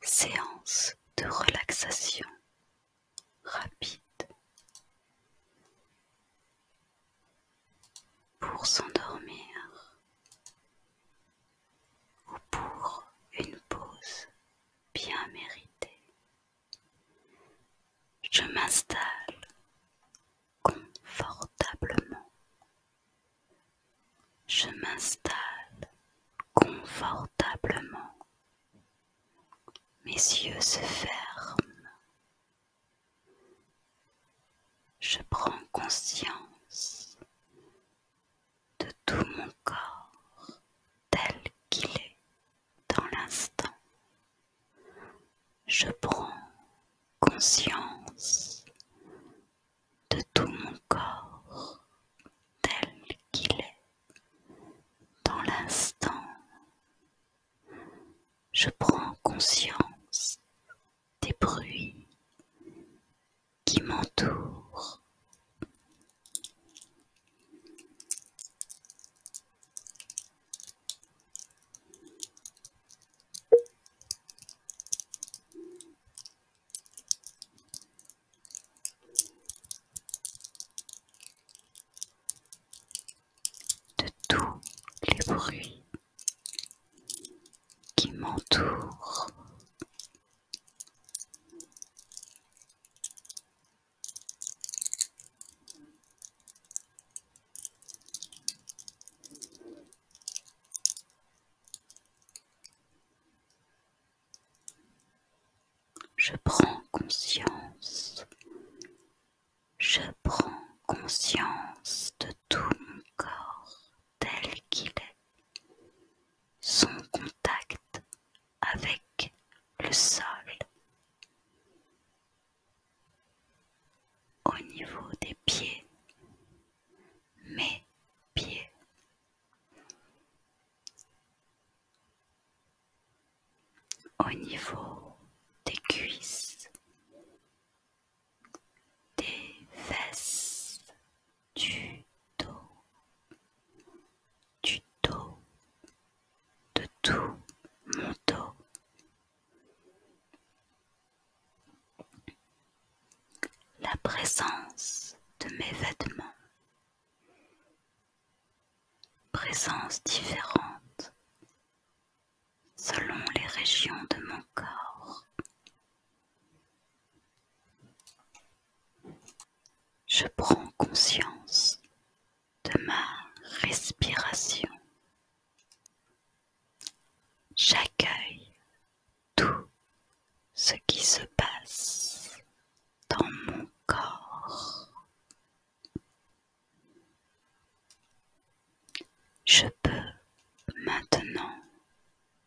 Séance de relaxation rapide. Pour s'endormir ou pour une pause bien méritée, je m'installe confortablement. Je m'installe confortablement. Mes yeux se ferment. Je prends conscience de tout mon corps tel qu'il est dans l'instant, je prends conscience de tout mon corps tel qu'il est dans l'instant. Je prends conscience des bruits qui m'entourent de tous les bruits qui m'entourent. Je prends conscience. Je prends conscience de tout mon corps tel qu'il est. Son contact avec le sol au niveau des pieds, mes pieds. Au niveau des cuisses, des fesses, du dos, du dos, de tout mon dos, la présence de mes vêtements. Présence différente selon les régions de mon corps. Je prends conscience de ma respiration. J'accueille tout ce qui se passe dans mon corps. Je peux maintenant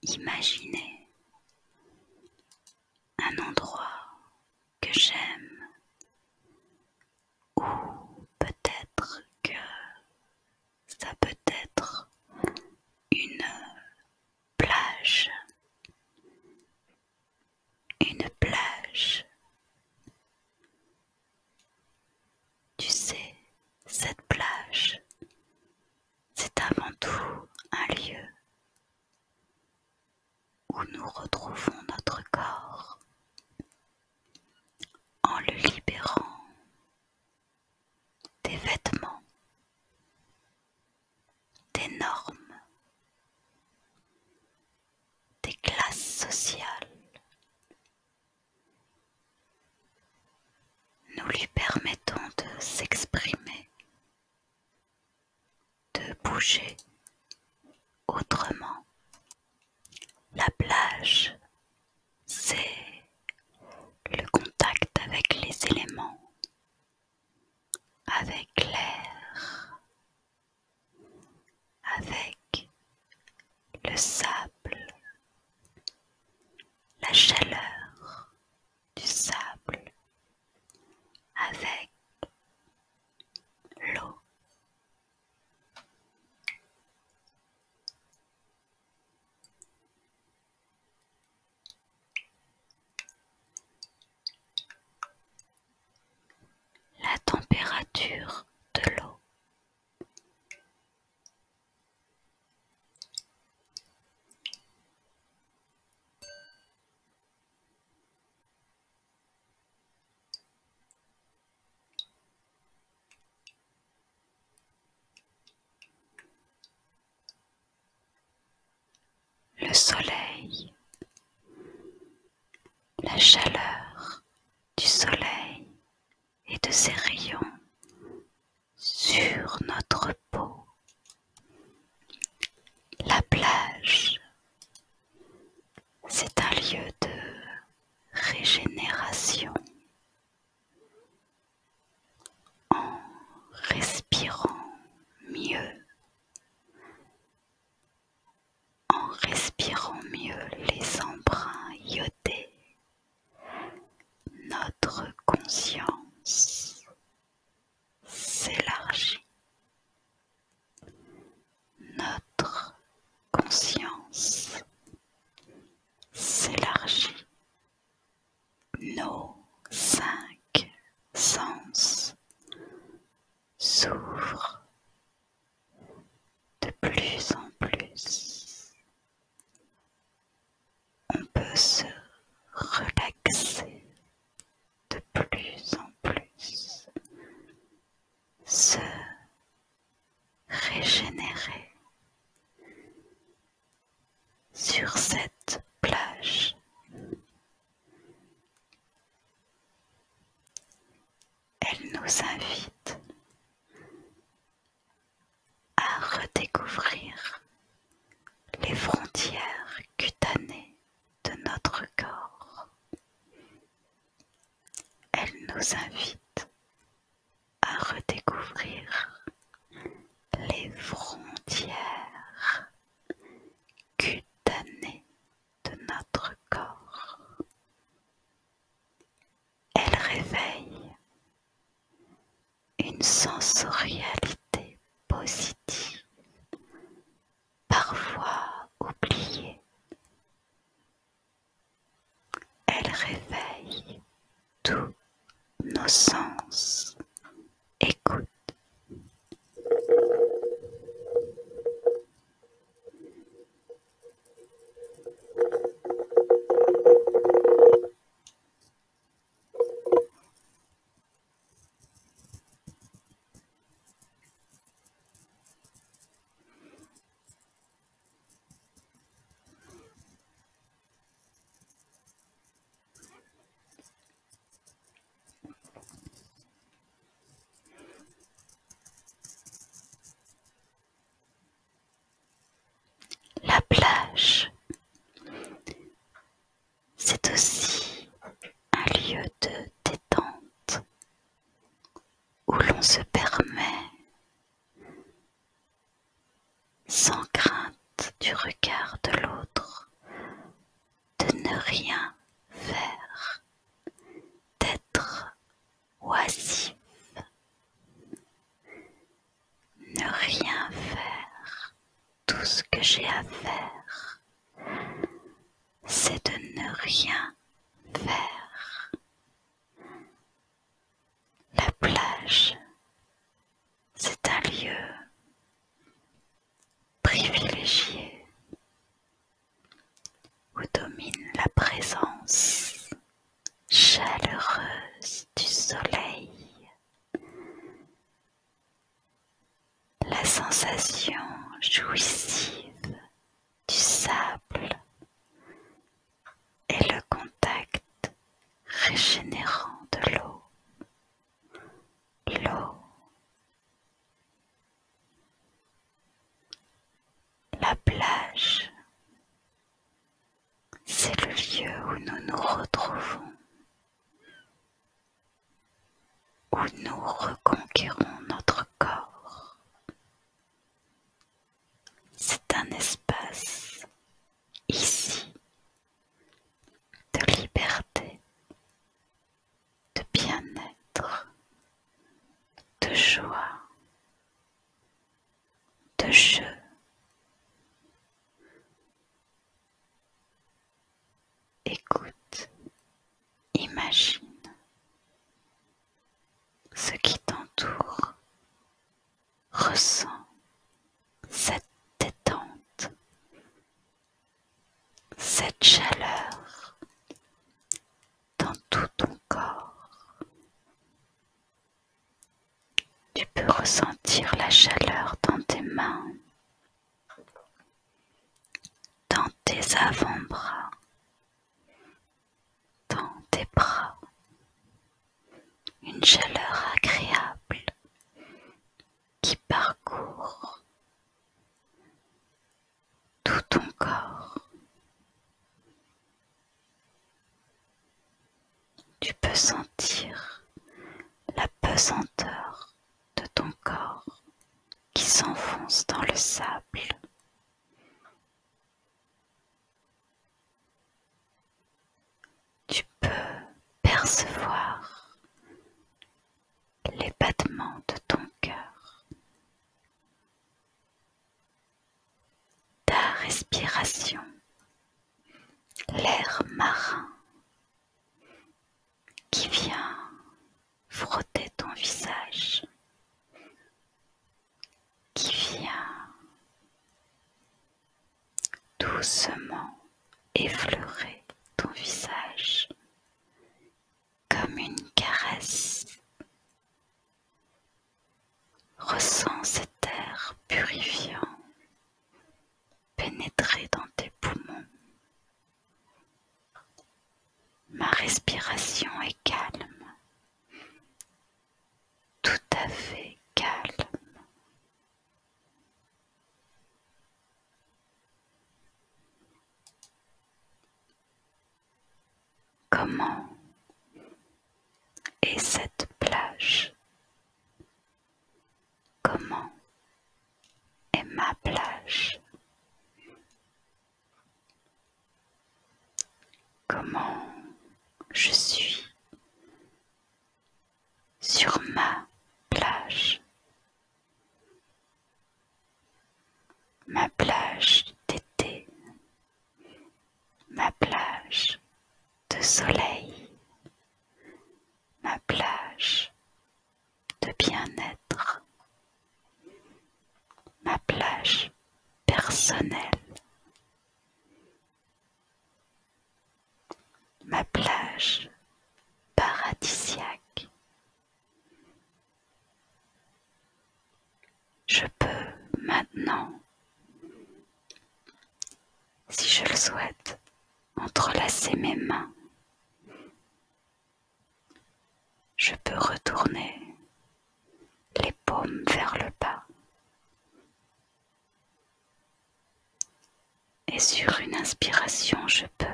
imaginer un endroit que j'aime ou peut-être que ça peut être une plage, une plage. Tu sais, cette plage, c'est avant tout un lieu où nous retrouvons notre corps, en le libérant des vêtements, des normes, des classes sociales. Nous lui permettons de s'exprimer, de bouger, autrement. La plage, c'est le contact avec les éléments, avec l'air, avec le sable, la chaleur du sable, avec l'eau la température de l'eau. Le soleil, la chaleur du soleil et de ses rayons sur notre peau, la plage, c'est un lieu de régénération en respirant mieux, en respirant mieux les embruns iodés, notre conscience s'élargit notre conscience s'élargit. Nos cinq sens s'ouvrent de plus en plus. On peut se relaxer de plus en plus se régénérer sur cette plage. Elle nous invite à redécouvrir les frontières cutanées de notre corps elle nous invite à redécouvrir les frontières cutanées de notre corps. Elle réveille une sensorialité positive parfois oubliée. Elle réveille tous nos sens. Écoute. La plage, c'est aussi un lieu de détente où l'on se permet, sans crainte du regard de l'autre, de ne rien faire, d'être oisif, ne rien faire, tout ce que j'ai à faire, c'est de ne rien faire. La plage, c'est un lieu privilégié où domine la présence chaleureuse du soleil la sensation jouissive du sable et le contact régénérant de l'eau. L'eau. La plage, c'est le lieu où nous nous retrouvons où nous reconquérons notre corps. C'est un espace ici de liberté, de bien-être, de joie, de jeu. Écoute, imagine ce qui t'entoure, ressens cette détente, cette chaleur dans tout ton corps. Tu peux ressentir la chaleur dans tes mains, dans tes avant-bras, dans tes bras, une chaleur agréable qui parcourt tout ton corps. Tu peux sentir la pesanteur de ton corps qui s'enfonce dans le sable. Tu peux percevoir les battements de ton cœur, ta respiration, l'air marin qui vient frotter ton visage, qui vient doucement effleurer ton visage comme une caresse. Ressens cet air purifiant pénétrer dans tes poumons Ma respiration est calme, tout à fait calme. Comment est cette plage Comment et ma plage. Comment je suis sur ma plage. Ma plage d'été, ma plage de soleil, ma plage de bien-être, ma plage personnelle, ma plage paradisiaque. Je peux maintenant, si je le souhaite, entrelacer mes mains je peux retourner les paumes vers le bas. Et sur une inspiration, je peux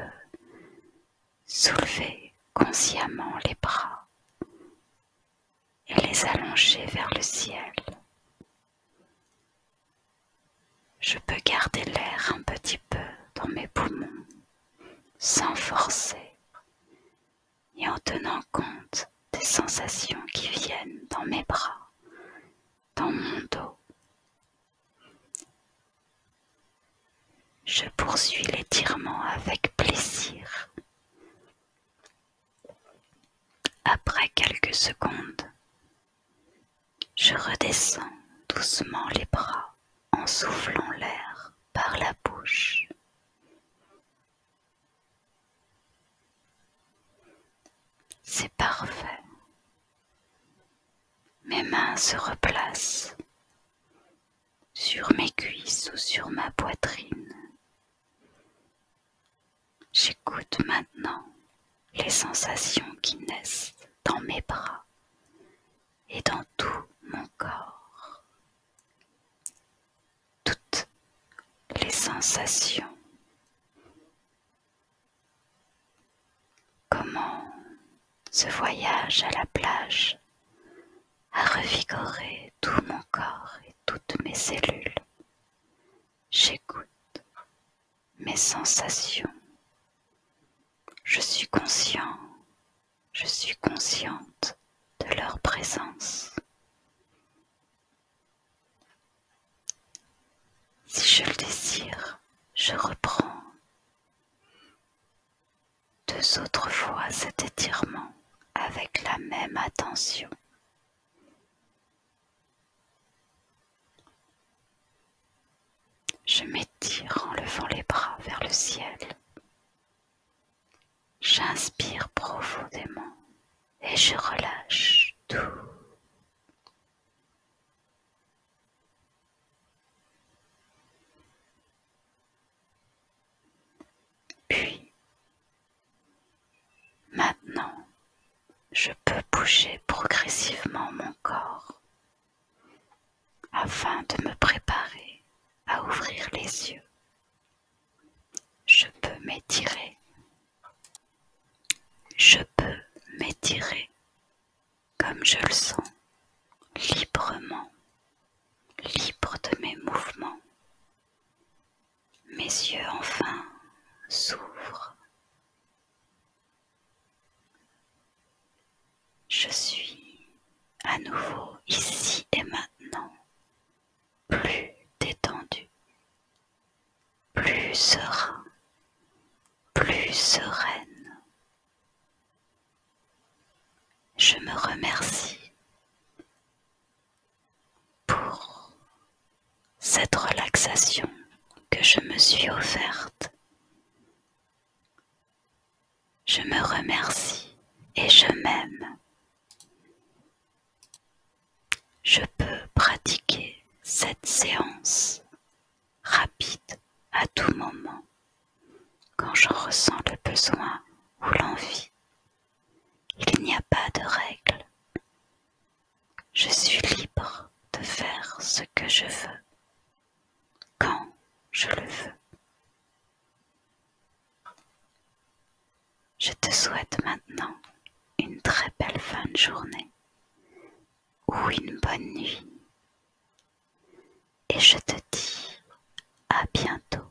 soulever consciemment les bras et les allonger vers le ciel. Je peux garder l'air un petit peu dans mes poumons sans forcer et en tenant compte des sensations qui viennent dans mes bras, dans mon dos. Je poursuis l'étirement avec plaisir. Après quelques secondes, je redescends doucement les bras en soufflant l'air par la bouche. C'est parfait. Mes mains se replacent sur mes cuisses ou sur ma poitrine. J'écoute maintenant les sensations qui naissent dans mes bras et dans tout mon corps. Toutes les sensations. Comment ce voyage à la plage a revigoré tout mon corps et toutes mes cellules. J'écoute mes sensations. Je suis conscient, je suis consciente de leur présence. Si je le désire, je reprends deux autres fois cet étirement avec la même attention. Je m'étire en levant les bras vers le ciel. J'inspire profondément et je relâche tout. Puis, maintenant, je peux bouger progressivement mon corps afin de me préparer à ouvrir les yeux. Je peux m'étirer. Je peux m'étirer comme je le sens, librement, libre de mes mouvements. Mes yeux enfin s'ouvrent. Je suis à nouveau ici et maintenant, plus détendu, plus serein, plus sereine. Je me remercie pour cette relaxation que je me suis offerte. Je me remercie et je m'aime. Je peux pratiquer cette séance rapide à tout moment quand j'en ressens le besoin ou l'envie. Il n'y a pas de règle. Je suis libre de faire ce que je veux, quand je le veux. Je te souhaite maintenant une très belle fin de journée ou une bonne nuit. Et je te dis à bientôt.